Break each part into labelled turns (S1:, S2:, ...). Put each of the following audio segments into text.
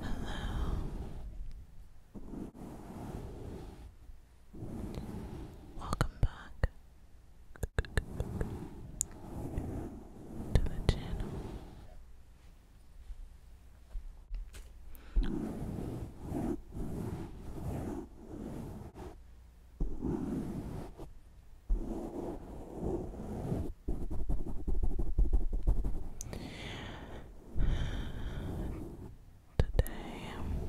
S1: Hello. Welcome back to the channel. Today, I'm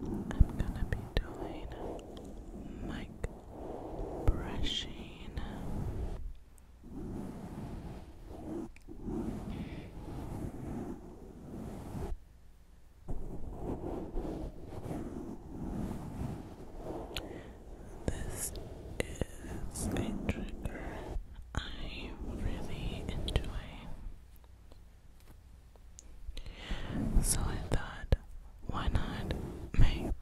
S1: gonna be doing mic brushing. This is a trigger I really enjoy. So I thought, why not make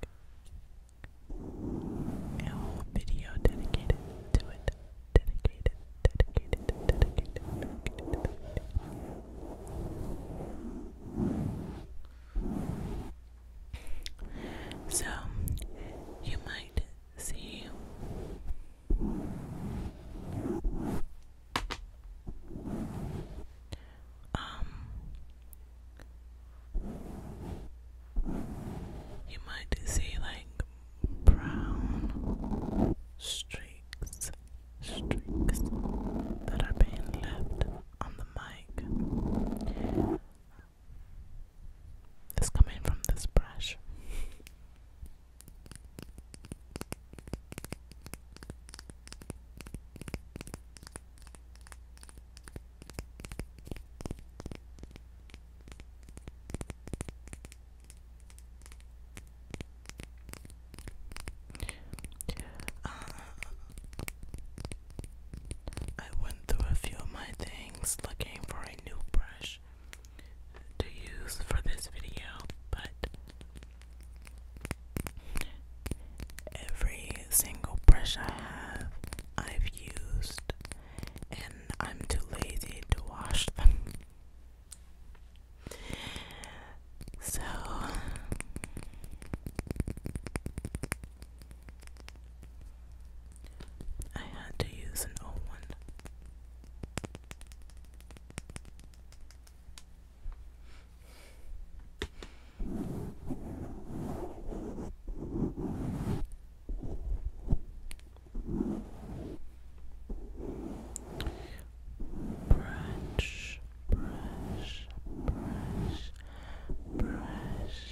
S1: a whole video dedicated to it? Dedicated, dedicated, dedicated, dedicated. So you might see um you might see like brown streaks that are being left on the mic it's coming from this brush. I went through a few of my things looking for a new brush to use for this video, but every single brush I have, I've used, and I'm too lazy to wash them. So, I had to use an old one. Brush, brush, brush, brush,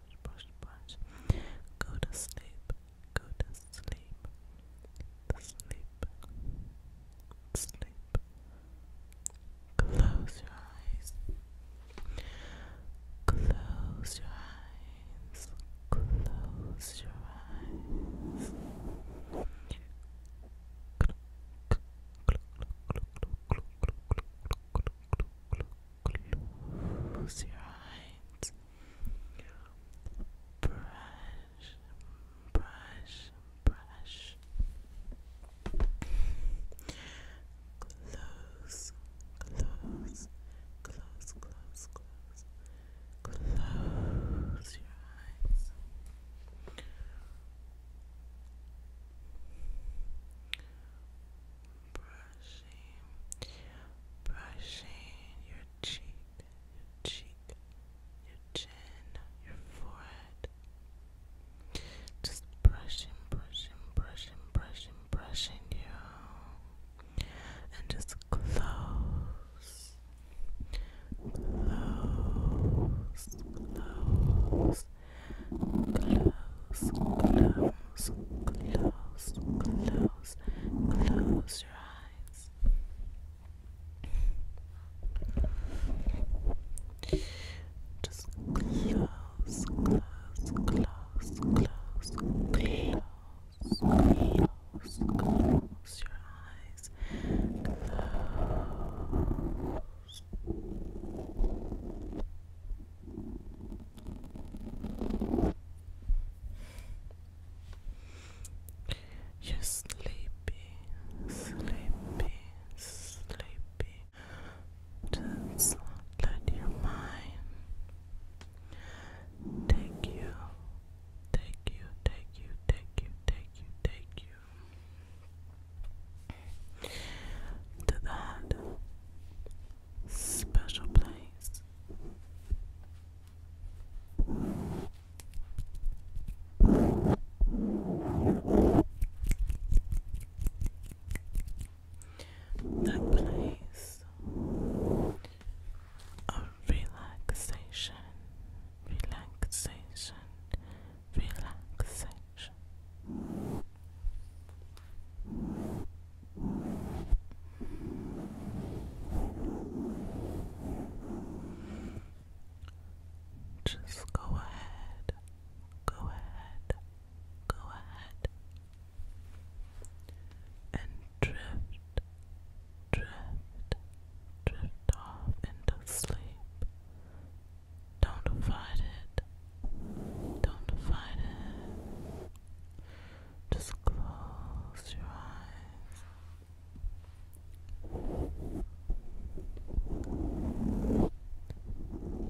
S1: brush, brush, brush. Go to sleep, go to sleep, sleep, sleep. Close your eyes. Close your eyes. Close your eyes. Close your eyes. Close your eyes. Brush, brush, brush. Close, close, close, close, close. Close your eyes brushing, brushing your cheek, your cheek, your chin, your forehead. Just brushing, brushing, brushing, brushing, brushing you. And just close, close, close. Close, close, close, close, close your eyes. Just close, close, close, close, close, close, close your eyes. Close you sleepy, sleepy, sleepy. Just let your mind take you, take you, take you, take you, take you, take you to that special place. That place of relaxation, relaxation, relaxation. English. Just go ahead, go ahead, go ahead, and drift, drift, drift off into sleep. Don't fight it, don't fight it. Just close your eyes.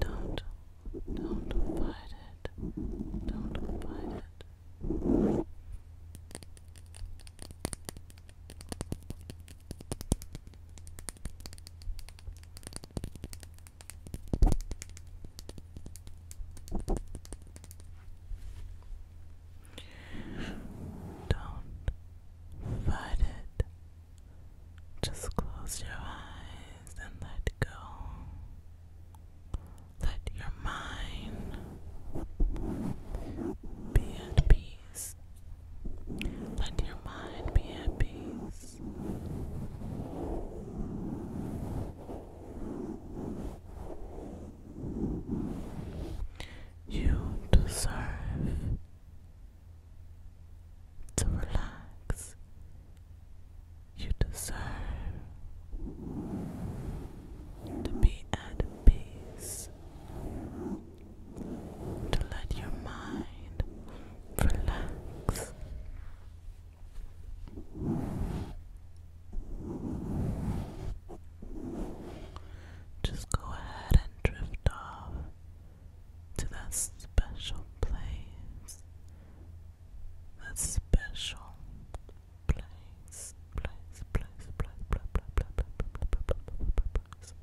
S1: Don't, don't fight it. Don't fight it. Don't fight it. Just close your eyes and let go. Let your mind be at peace. Let your mind be at peace. You deserve to relax. You deserve to be at peace, to let your mind relax. Just go ahead and drift off to that special place. That special place, place, place, place, place, place, place, place, place, place, place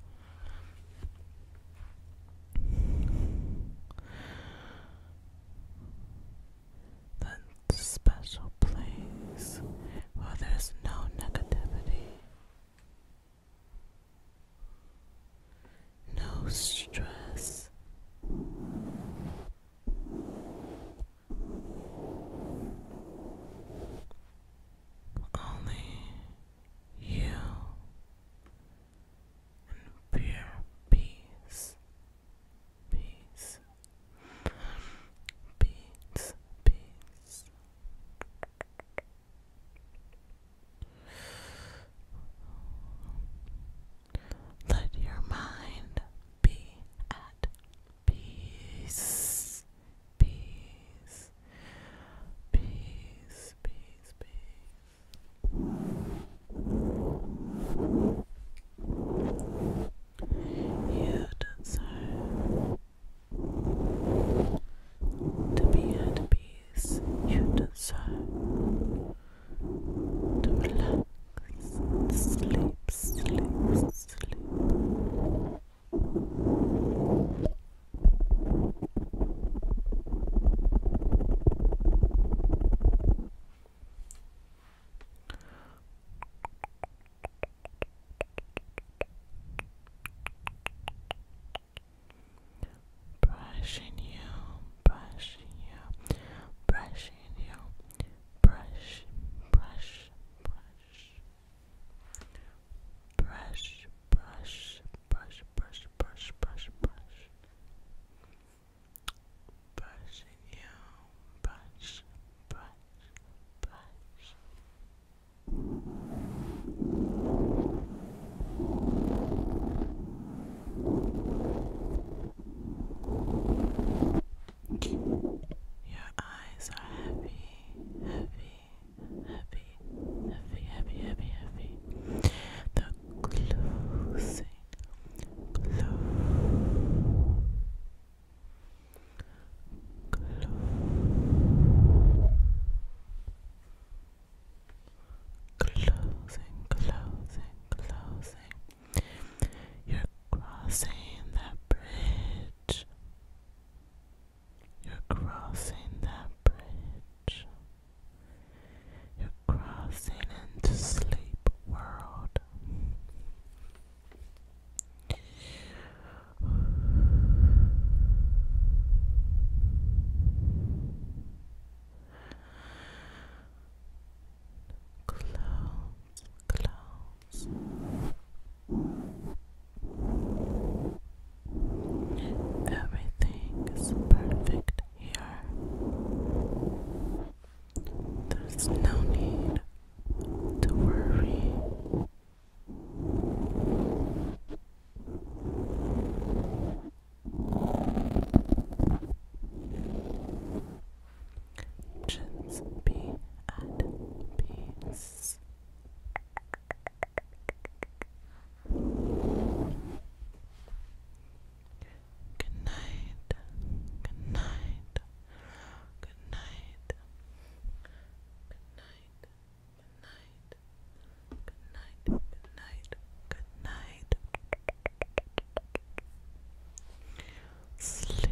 S1: that special place where there's no negativity, no stress. Only you and pure peace. Peace. Peace. Peace. Let your mind be at peace. Peace. Peace. Peace. Peace. You've to be at peace. You've done so to sleep, sleep, sleep. Brushing you, brushing you, brushing you, brush, brush, brush, brush, brush, brush, brush, brush, brush, brush brushing you, brush, brush, brush. Your eyes are heavy, heavy, heavy, heavy, heavy, heavy, heavy. The closer Close. Closing, closing, closing. You're crossing that bridge. You're crossing that bridge. You're crossing into sleep world. Close, close. Everything is perfect here. There's no need to worry. Just be at peace. Good night. Good night. Good night. Good night. night. Good night. Good night. Sleep.